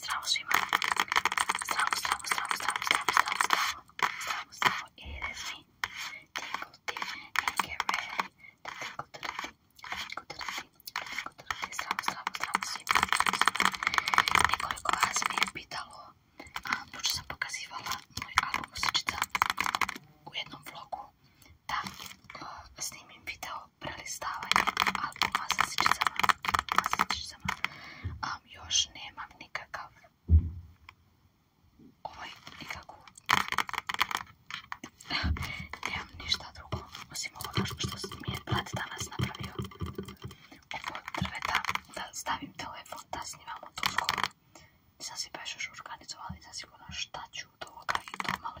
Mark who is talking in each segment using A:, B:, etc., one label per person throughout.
A: Zdravo svima! Zdravo, zdravo, zdravo, zdravo, zdravo, zdravo, zdravo, zdravo, zdravo, it is me. Tingle Tea and get ready to tingle to the tea, tingle to the tea, tingle to the tea, zdravo, zdravo, zdravo svima, Nekoliko vas mi je pitalo, pošto sam pokazivala moj album Usičica u jednom vlogu, da snimim video prelistavanje albuma sa sličicama. Um, još nemam nikakav ovaj nikakvu nemam ništa drugo osim ovoga što mi je brat danas napravio ovo drveta da stavim telefon da snimam u tu nisam si baš još organizovala i zasigurno šta ću od ovoga i to malo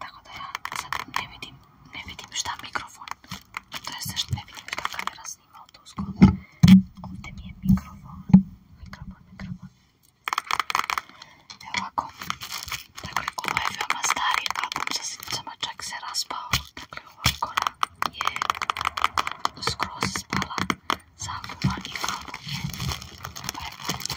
A: Tak, da ja sad ne vidim, ne vidim šta mikrofon, to jest ne vidim šta kamera snima od uskog. Ovdje mi je mikrofon, mikrofon, mikrofon. Evo ovako, dakle ovo je veoma stari album sa snicama, čak se raspao, dakle ova kora je skroz spala sa albuma i album je napravljen.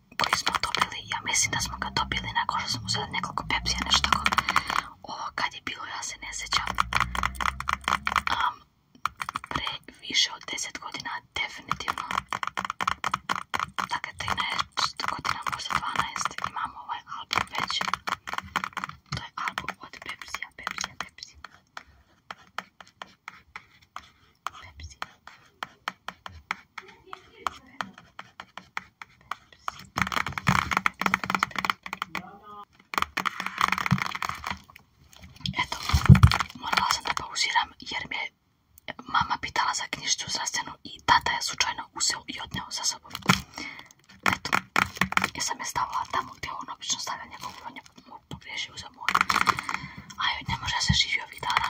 A: koji smo dobili, ja mislim da smo ga dobili nakon što smo uzeli nekoliko pepsija, nešto tako. Ovo kad je bilo, ja se ne sjećam. Um, pre više od 10 godina, definitivno. Dakle, 13 godina, možda 12, imamo ovaj album već. To je album od pepsija, pepsija, pepsija. Pepsi. Eto, morala sam da pauziram jer mi je mama pitala za knjižicu zdravstvenu i tata je slučajno uzeo i odneo sa sobom. Eto, ja sam je stavila tamo gdje on obično stavlja njegovu, on je pogriješio za moju. A joj ne može se živi ovih dana,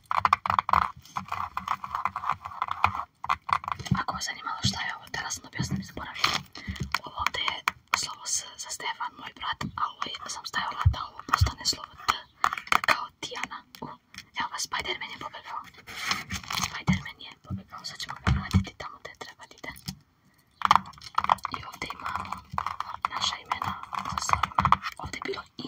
A: Ako vas zanimalo šta je ovo, teraz sam objasnim, je slovo S za Stefan, moj brat, a sam stajala da ovo postane slovo T, kao Tijana. evo Spider-Man je pobegao. Spider-Man je sad ćemo ga tamo gdje treba da ide. I ovdje imamo naša imena Ovdje je bilo I.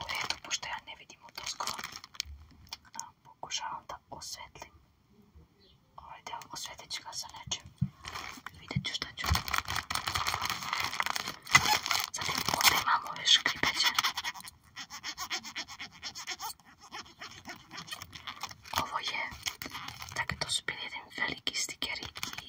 A: u redu, pošto ja ne vidim u toskova, pokušavam da osvetlim ovaj deo, osvetit ću ga sa nečim, vidjet ću šta ću. Zatim ovdje imam ove škripeće. Ovo je, dakle to su bili jedan veliki stikeri i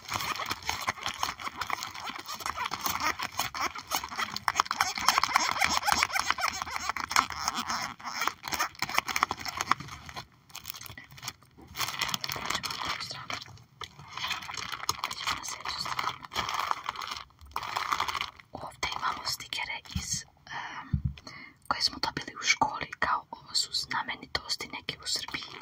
A: Ovdje imamo stikere iz, koje smo dobili u školi, kao ovo su znamenitosti neke u Srbiji.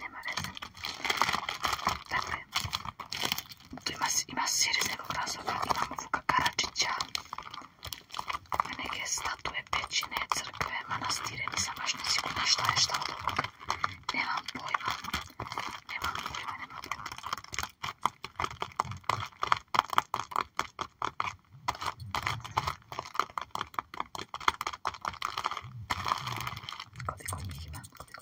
A: nema veze. Dakle, tu ima, ima sir iz nekog razloga, imamo Vuka Karadžića, neke statue, pećine, crkve, manastire, nisam baš šta je šta od ovoga. Nemam pojma, nemam pojma, nemam pojma. njih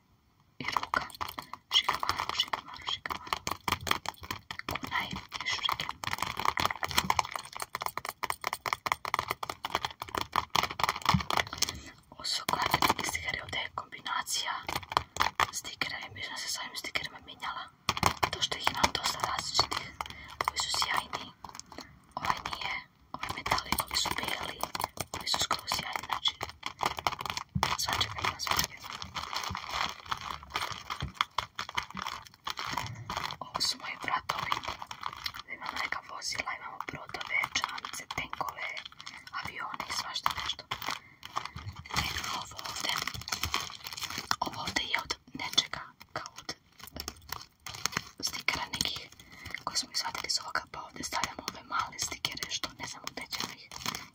A: i ruka. Shikamaru, shikamaru, shikamaru. Kunai i shuriken. Osoba je stiker ovdje je kombinacija stikera i mi sam se s ovim stikerima mijenjala. To što ih imam dosta različitih. Ovi su sjajni. Ovaj nije. Ovi metali, ovi su beli. Ovi su skoro sjajni. Znači, Sva čekaj, sva čekaj. Ovo su moji bratovi. Imamo neka vozila, imamo brodove, čamce, tenkove, avione i svašta nešto. E, ovo ovdje. Ovo ovdje je od nečega, kao od stikera nekih koji smo izvadili iz ovoga, pa ovdje stavljamo ove male stikere, što ne znam gdje ćemo ih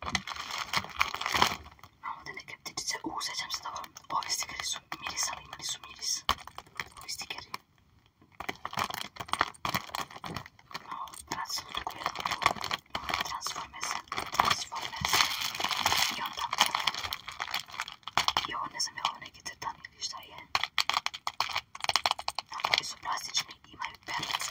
A: A ovdje neke ptičice. U, sjećam se dobro. Ovi stikeri su mirisali, imali su miris. Ovi stikeri. Malo transforme se. Transforme se. I onda... I ovo ne znam je ovo neki crtan ili šta je. Ovi su plastični, imaju perlice.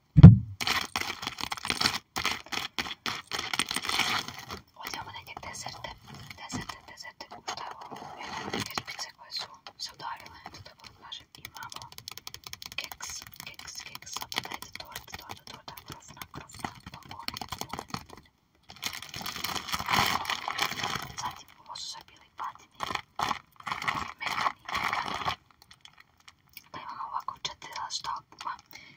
A: Vogliamo degli desert, koje su se udarile, da torta, torta, torta, ovo su bili patini, pa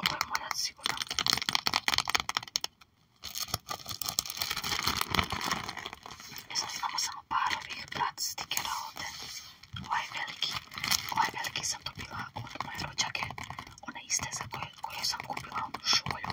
A: Ovo je moljac sigurno. E samo par ovih brat stikera ovde. Ovaj veliki, ovaj veliki sam dobila od moje rođake. One iste za koje, koje sam kupila onu šolju.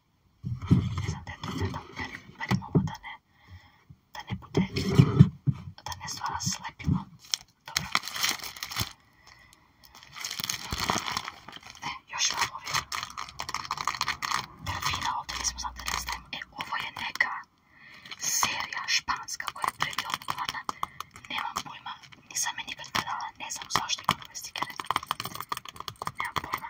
A: Ne znam da je to sve da uperim ovo da ne, da ne bude, da ne stvara slepilo. Dobro. E, još imam ovdje. Terfina ovdje nismo znam da ne znam. ovo je neka serija španska koja je predjopljena. Nemam pojma, nisam je nikad gledala, ne znam zašto imam ove stikere. Nemam pojma.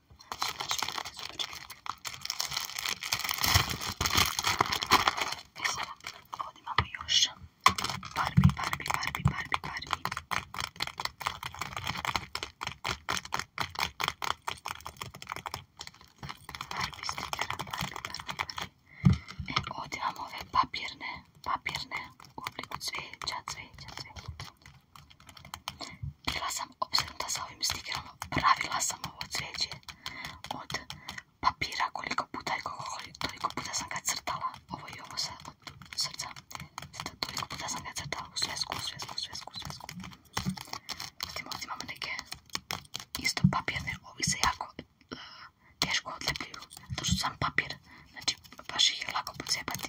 A: E sada, ovdje imamo još Barbie, Barbie, barbi, barbi, barbi. Barbie barbi, barbi, Barbie, E, ovdje imamo ove papirne, papirne u obliku bila sam obsednuta sa ovim stikerama, pravila sam ovo cvijeće od papira koliko puta i koliko puta sam ga crtala, ovo i ovo sa, od srca, toliko puta sam ga crtala u svesku, u svesku, u svesku, u ovdje imamo neke isto papirne, ovi se jako e, teško odlepljuju, to što sam papir, znači baš ih je lako pocijepati.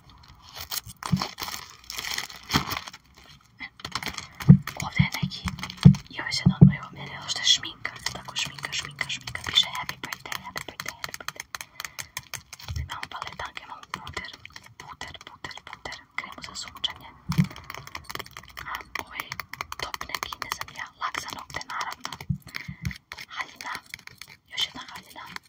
A: Ovdje je neki, je happy birthday, happy birthday, happy za top neki, ne znam ja, nokte naravno. još jedna haljina.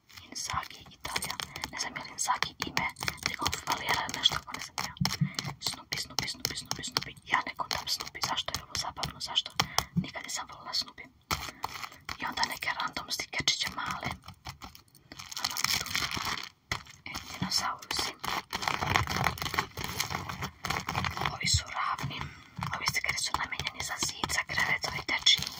A: Inzaghi, Italija. Ne znam je li Inzaghi ime nekog valijera nešto, pa ne znam ja. Snoopy, Snoopy, Snoopy, Snoopy, Snoopy. Ja ne kontam Snoopy, zašto je ovo zabavno, zašto? Nikad nisam volila Snoopy. I onda neke random stikečiće male. Ano, tu. E, dinosaurusi. Ovi su ravni. Ovi stikeri su namenjeni za zid, za krevet, za ovaj i tečinu.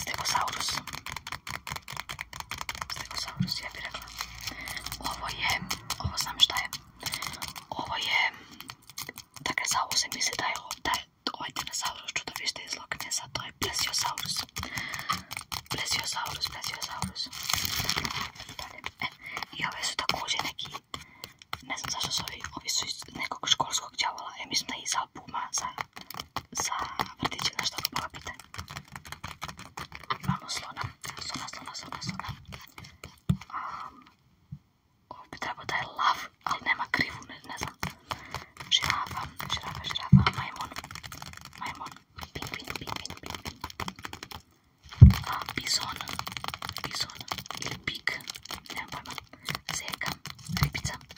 A: Stegosaurus. Stegosaurus, ja bih rekla. Ovo je, ovo znam šta je. Ovo je, dakle za ovo se misli da je, da je ovaj dinosaurus čudovište iz Loknesa, to je plesiosaurus. Plesiosaurus, plesiosaurus. Dalje. E, I ove su također neki, ne znam zašto su ovi, ovi su iz nekog školskog djavola, ja mislim da je iz albuma za, za vrtiće, nešto ono Bison, bison, ili pik, ne vem pojma, zeka, ribica.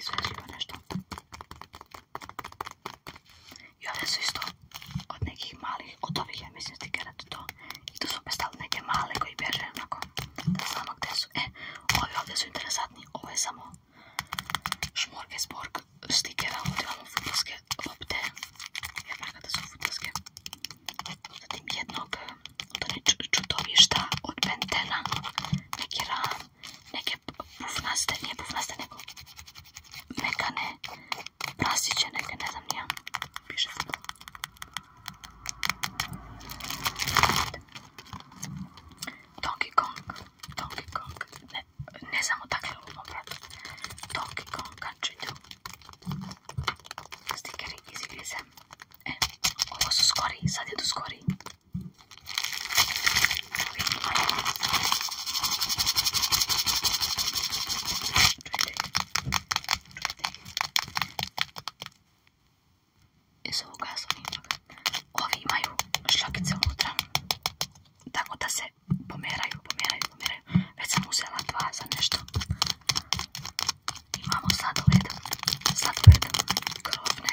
A: izvezljivo nešto. I ove su isto od nekih malih, od ovih ja mislim stikerati to. I tu su predstavili neke male koji bježe onako, da znamo gdje su. E, ovi ovdje su interesantni, ovo je samo šmorgesborg stikera, ovdje imamo futbolske lopte, jer kada su futbolske. Zatim jednog, to ne čudovišta od Bentena, neki ram, neke pufnaste, nije pufnaste, nego mekane prasiće neke, ne znam nija, piše se Donkey Kong, Donkey Kong, ne, ne znam odakle lupom Donkey Kong Country 2, stikeri iz e, ovo su skori, sad jedu skori. Jesu ovo gasovi ipak. Ovi imaju šlakice unutra. Tako da se pomeraju, pomeraju, pomeraju. Već sam uzela dva za nešto. Imamo sladoled. Sladoled. Krofne.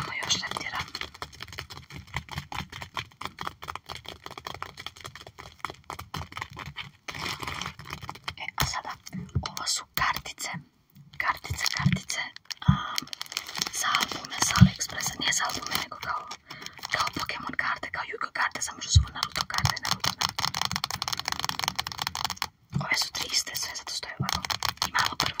A: Ovo još ne tjeram. E, a sada, ovo su kartice. Kartice, kartice. Um, za albume, za AliExpressa. Nije za albume, nego kao, kao Pokemon karte, kao Yu-Gi-Oh karte. Samo što su Naruto karte, Naruto, Naruto. Ove su tri iste, sve zato stoje ovako. Imamo prvo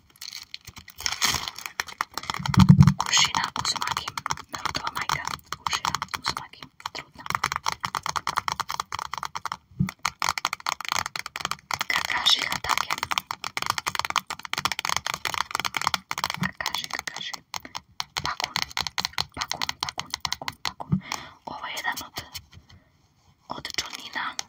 A: Ušina Uzumaki. Narutová majka. Ušina Uzumaki. Trudná. Kakashi Hatake. Kakashi, Kakashi. Pakun. Pakun, Pakun, Pakun, Pakun. Ovo je jedan od od Johnina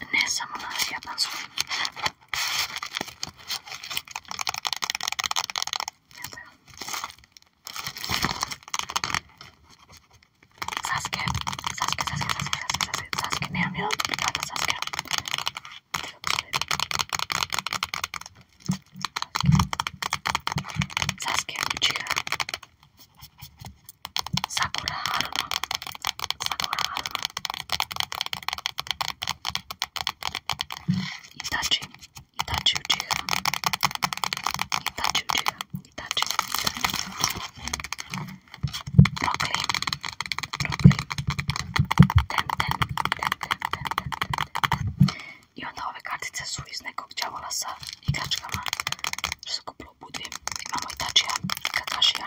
A: en esa Saske, Saske, Saske, Saske, Saske, Saske, Sakura Haruna. Sakura Haruna. Itachi. Itachi Uchiha. Itachi Uchiha. Itachi. Brooklyn. Brooklyn. Ten, ten, ten, ten, ten, ten, ten, ten. I onda ove kartice su iz nekog đavola sa igračkama. Što se kupilo u budvi. Imamo Itačija, Kakashija,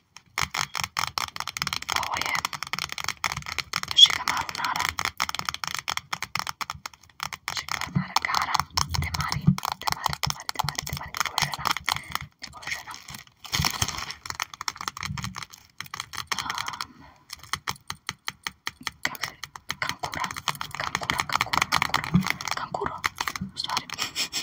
A: Poi oh, Yoshikamaru Nara Yoshikamaru Nara Gara Temari Temari Temari Temari Temari Nicolena Nicolena um, Kankura Kankura Kankura Kankura Kankuro Sorry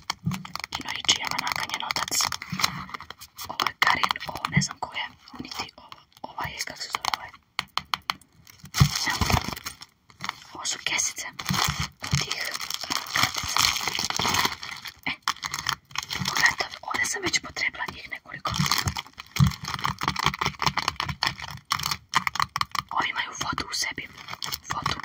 A: Inoičijama nakanjen otac. Ovo je Karin, ovo ne znam ko je, niti ovo. Ova je, kak se zove ovaj. Ovo su kesice od tih kartica. E, eh, pogledajte, ovdje sam već potrebila njih nekoliko. Ovi imaju vodu u sebi. Vodu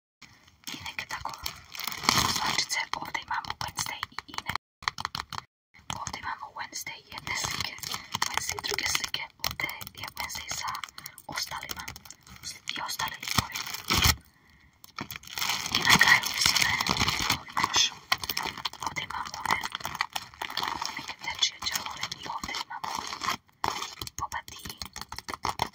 A: i neke tako slačice, ovdje imamo Wednesday i Ine. Ovdje imamo Wednesday i jedne slike, Wednesday druge slike, ovdje je Wednesday sa ostalima i ostali likovi. I na kraju mislim da je još, ovdje imamo ove neke tečije dželove i ovdje imamo Boba Dee.